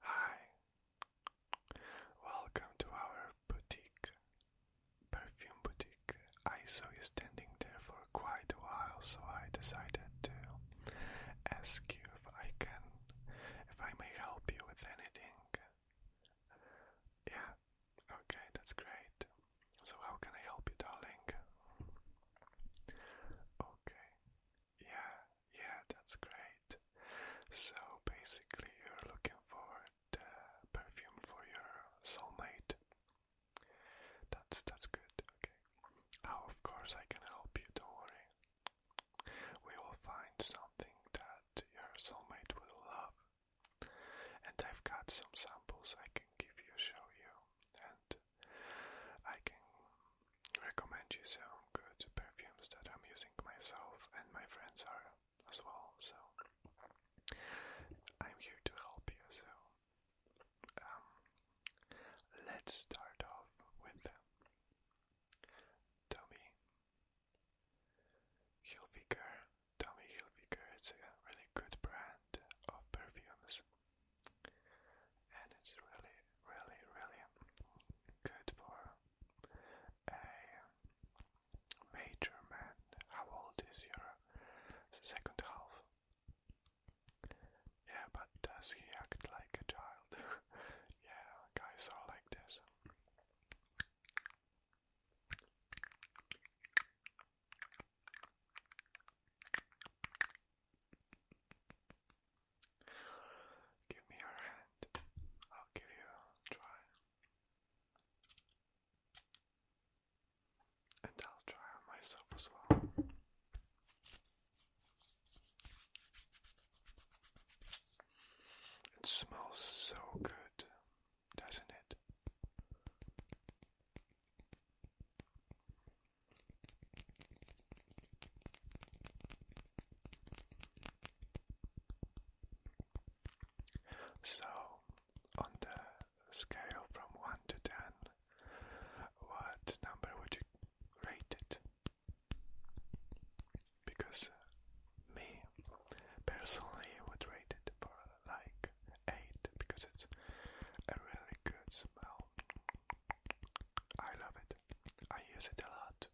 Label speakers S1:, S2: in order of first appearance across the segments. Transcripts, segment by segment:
S1: Hi, welcome to our boutique, perfume boutique. I saw you standing there for quite a while, so I decided to ask you if I can, if I may help you with anything. Yeah, okay, that's great. So, how can I help you, darling? Okay. Yeah, yeah, that's great. So basically, you're looking for the uh, perfume for your soulmate. That's that's good. Okay. Oh, of course, I can help you. Don't worry. We will find something that your soulmate will love. And I've got some samples I can give you, show you, and I can recommend you some good perfumes that I'm using myself and my friends are as well. So I'm here to help you. So um, let's start off with them. Tommy Hilfiger. Tommy Hilfiger. It's a really good brand of perfumes and it's really, really, really good for a major man. How old is your second half? Yeah, but does he act like a child? yeah, guys are like this. Give me your hand. I'll give you a try. And I'll try myself as well. It smells so good, doesn't it? So, on the scale from 1 to 10, what number would you rate it? Because me personally would rate it for like 8 because it's a really good smell. I love it. I use it a lot.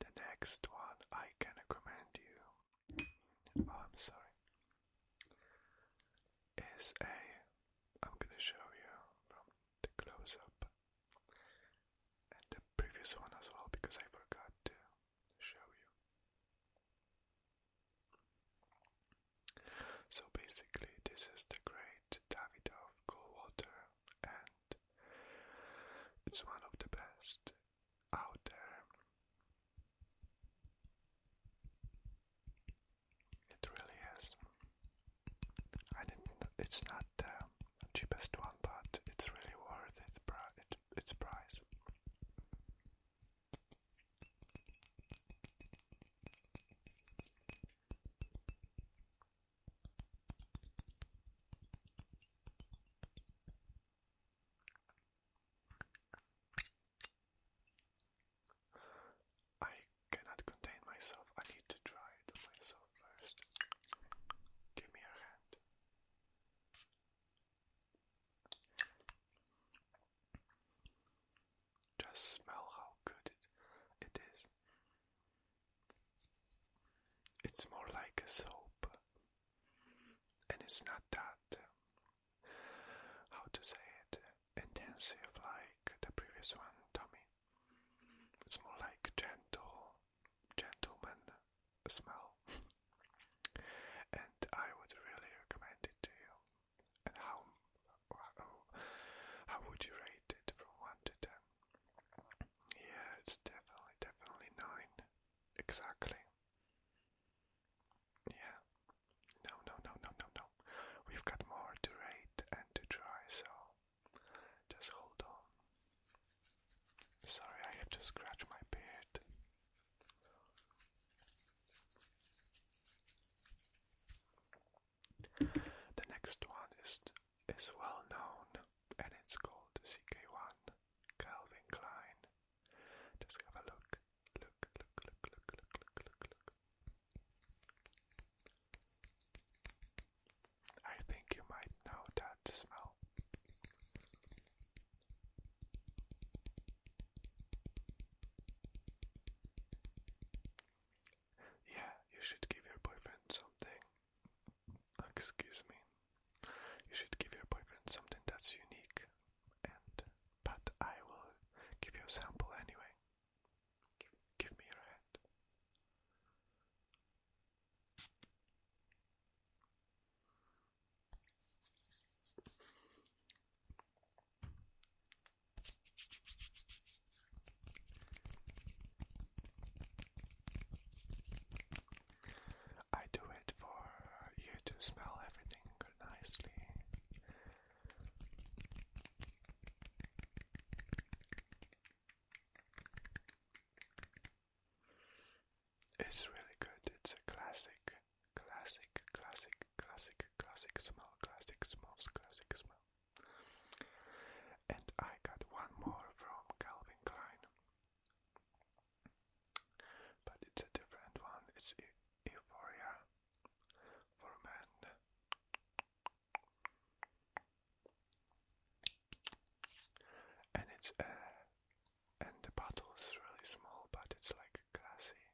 S1: The next one I can recommend you. Oh, I'm sorry. Is a I'm gonna show you the close-up and the previous one as well because I forgot to show you. So basically, this is the great Davidoff Coldwater, and it's one of the best out there. It really is. And it, it's not um, the cheapest one, but it's really worth its, pri it, its price. I cannot contain myself. I need to try it on myself first. Give me your hand. Just smell how good it is. It's more like a soap, and it's not that. Um, how to say it? intensive like the previous one, Tommy. It's more like gentle, gentleman smell. and I would really recommend it to you. how, how would you rate it from one to ten? Yeah, it's definitely, definitely nine. Exactly. Yeah, no, no, no, no, no, no. We've got more to rate and to try, so just hold on. Sorry, I have to scratch my beard. The next one is is well known and it's called CK1 Calvin Klein. Just have a look look, look, look, look, look, look, look, look. I think you might know that smell. Yeah, you should give your boyfriend something. Excuse me. You should give your boyfriend something that's unique. And but I will give you a sample anyway. Give, me your hand. I do it for you to smell everything nicely it's really good. It's a classic, classic, classic, classic, classic smell, classic smells, classic smell. And I got one more from Calvin Klein, but it's a different one. It's Euphoria for men. And it's uh, and the bottle's really small, but it's like glassy.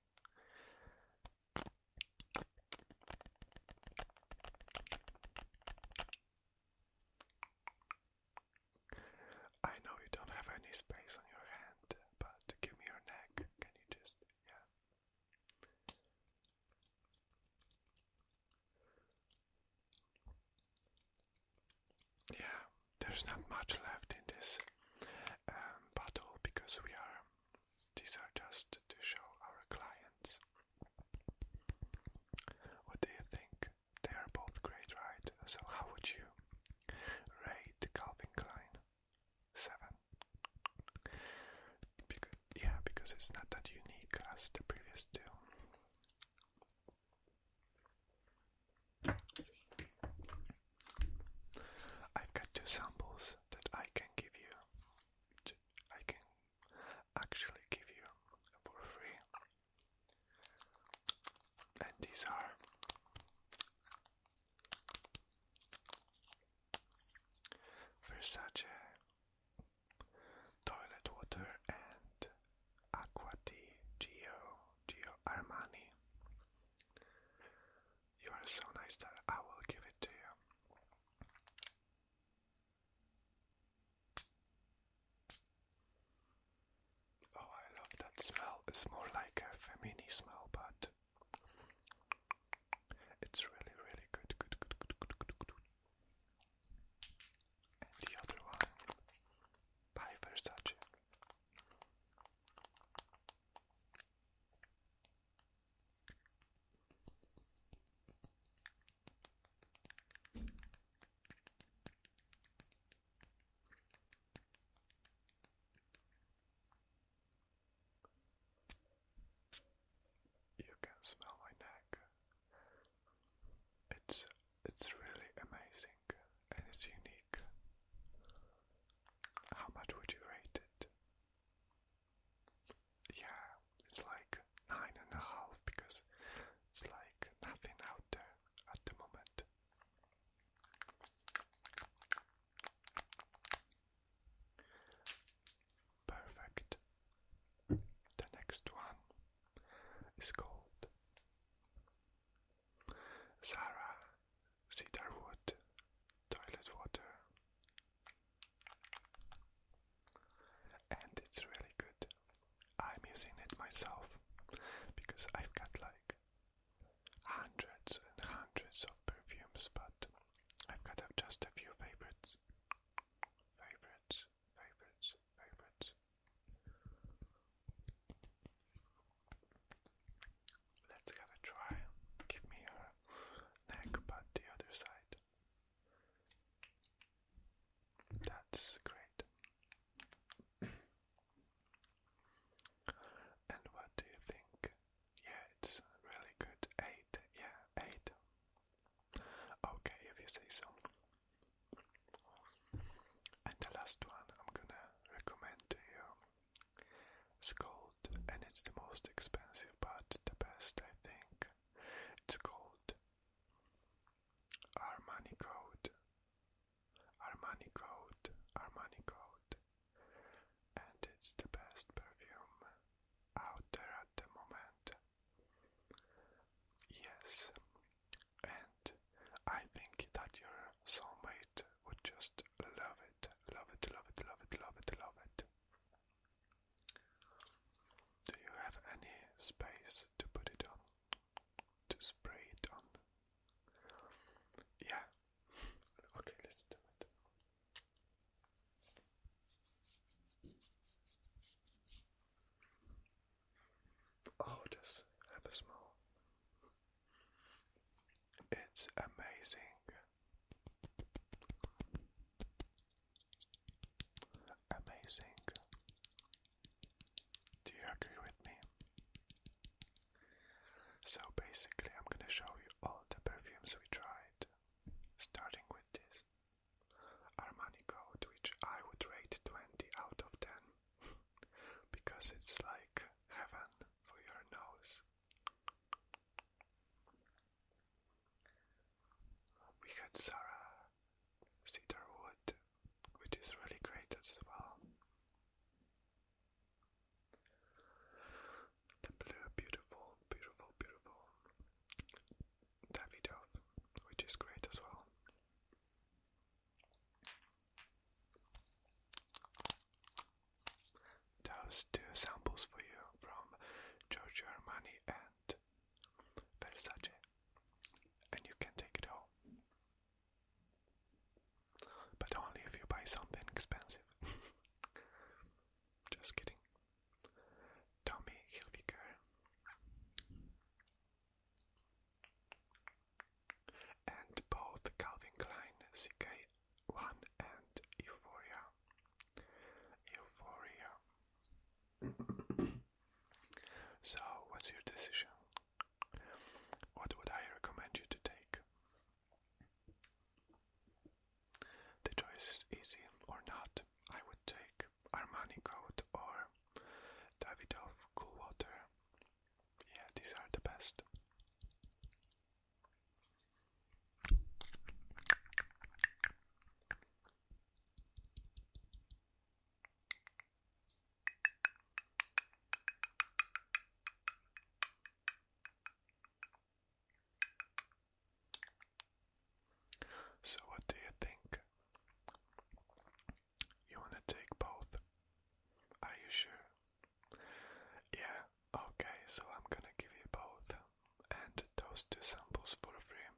S1: I know you don't have any space on your hand, but give me your neck. Can you just yeah. Yeah, there's not much left in this um, bottle because we are, these are just to show our clients. What do you think? They are both great, right? So, how would you rate Calvin Klein? seven. yeah, because it's not that unique as the previous two. I've got two samples that I can give you. I can actually give you for free. And these are Versace Toilet Water and Acqua di Gio, Armani. You are so nice that I will give it to you. Oh, I love that smell. It's more like a femini smell, but it's really, really good, good, good, good, good, good, good. And the other one by Versace. You can smell my neck. It's it's really amazing and it's unique. How much would you rate it? Yeah, it's like nine and a half because it's like nothing out there at the moment. Perfect. The next one is called Zara Cedarwood Toilet Water, and it's really good. I'm using it myself because I've got like hundreds and hundreds of perfumes, but I've got just a few favorites. Favorites, favorites, favorites. Let's have a try. Give me your neck, but the other side. That's great. And what do you think? Yeah, it's really good. Eight, yeah, eight. Okay, if you say so. And the last one I'm gonna recommend to you is gold, and it's the most expensive but the best, I think. It's gold. Armani Gold Armani Code, Armani Code, and it's the best perfume out there at the moment. Yes, and I think that your soulmate would just love it, love it, love it, love it, love it, love it. Do you have any space to put it on? to spray it on. Yeah. okay, let's do it. Oh, just have a smell. It's amazing. Amazing. Do you agree with me? So basically, I'm gonna show you all the perfumes we tried, starting with this Armani Code, which I would rate 20 out of 10 because it's like heaven for your nose. We had Zara cedar wood, which is really great as well. The blue, beautiful, beautiful, beautiful Davidoff, which is great as well. Those two samples for you from Giorgio Armani and Versace, and you can take it home. But only if you buy something expensive. Just kidding. Tommy Hilfiger. And both Calvin Klein CK1 and Euphoria. Euphoria. so, what's your decision? What would I recommend you to take? The choice is easy or not. I would take Armani coat or Davidoff cool water. Yeah, these are the best. So, what do you think? You want to take both? Are you sure? Yeah, okay, so I'm gonna give you both and those two samples for free.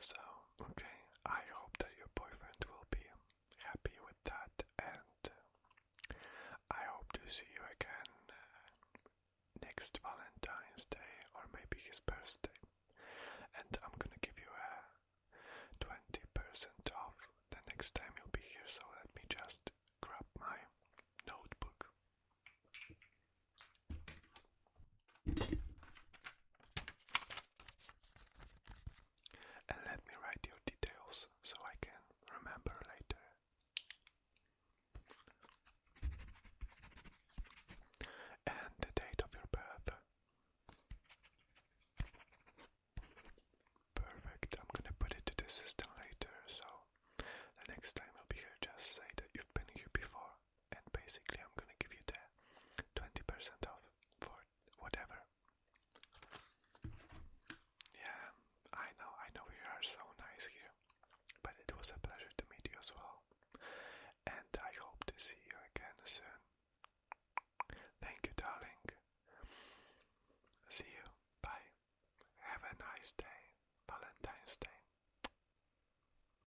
S1: So, okay, I hope that your boyfriend will be happy with that, and uh, I hope to see you again uh, next Valentine's Day or maybe his birthday. And I'm gonna give you a 20% off the next time you'll be here, so let me just grab my notebook. And let me write your details so I can remember later. And the date of your birth. Perfect, I'm gonna put it to the system later, so next time you'll be here, just say that you've been here before and basically I'm gonna give you the 20% off for whatever. Yeah, I know, I know you are so nice here, but it was a pleasure to meet you as well, and I hope to see you again soon. Thank you, darling. See you. Bye. Have a nice day. Valentine's Day.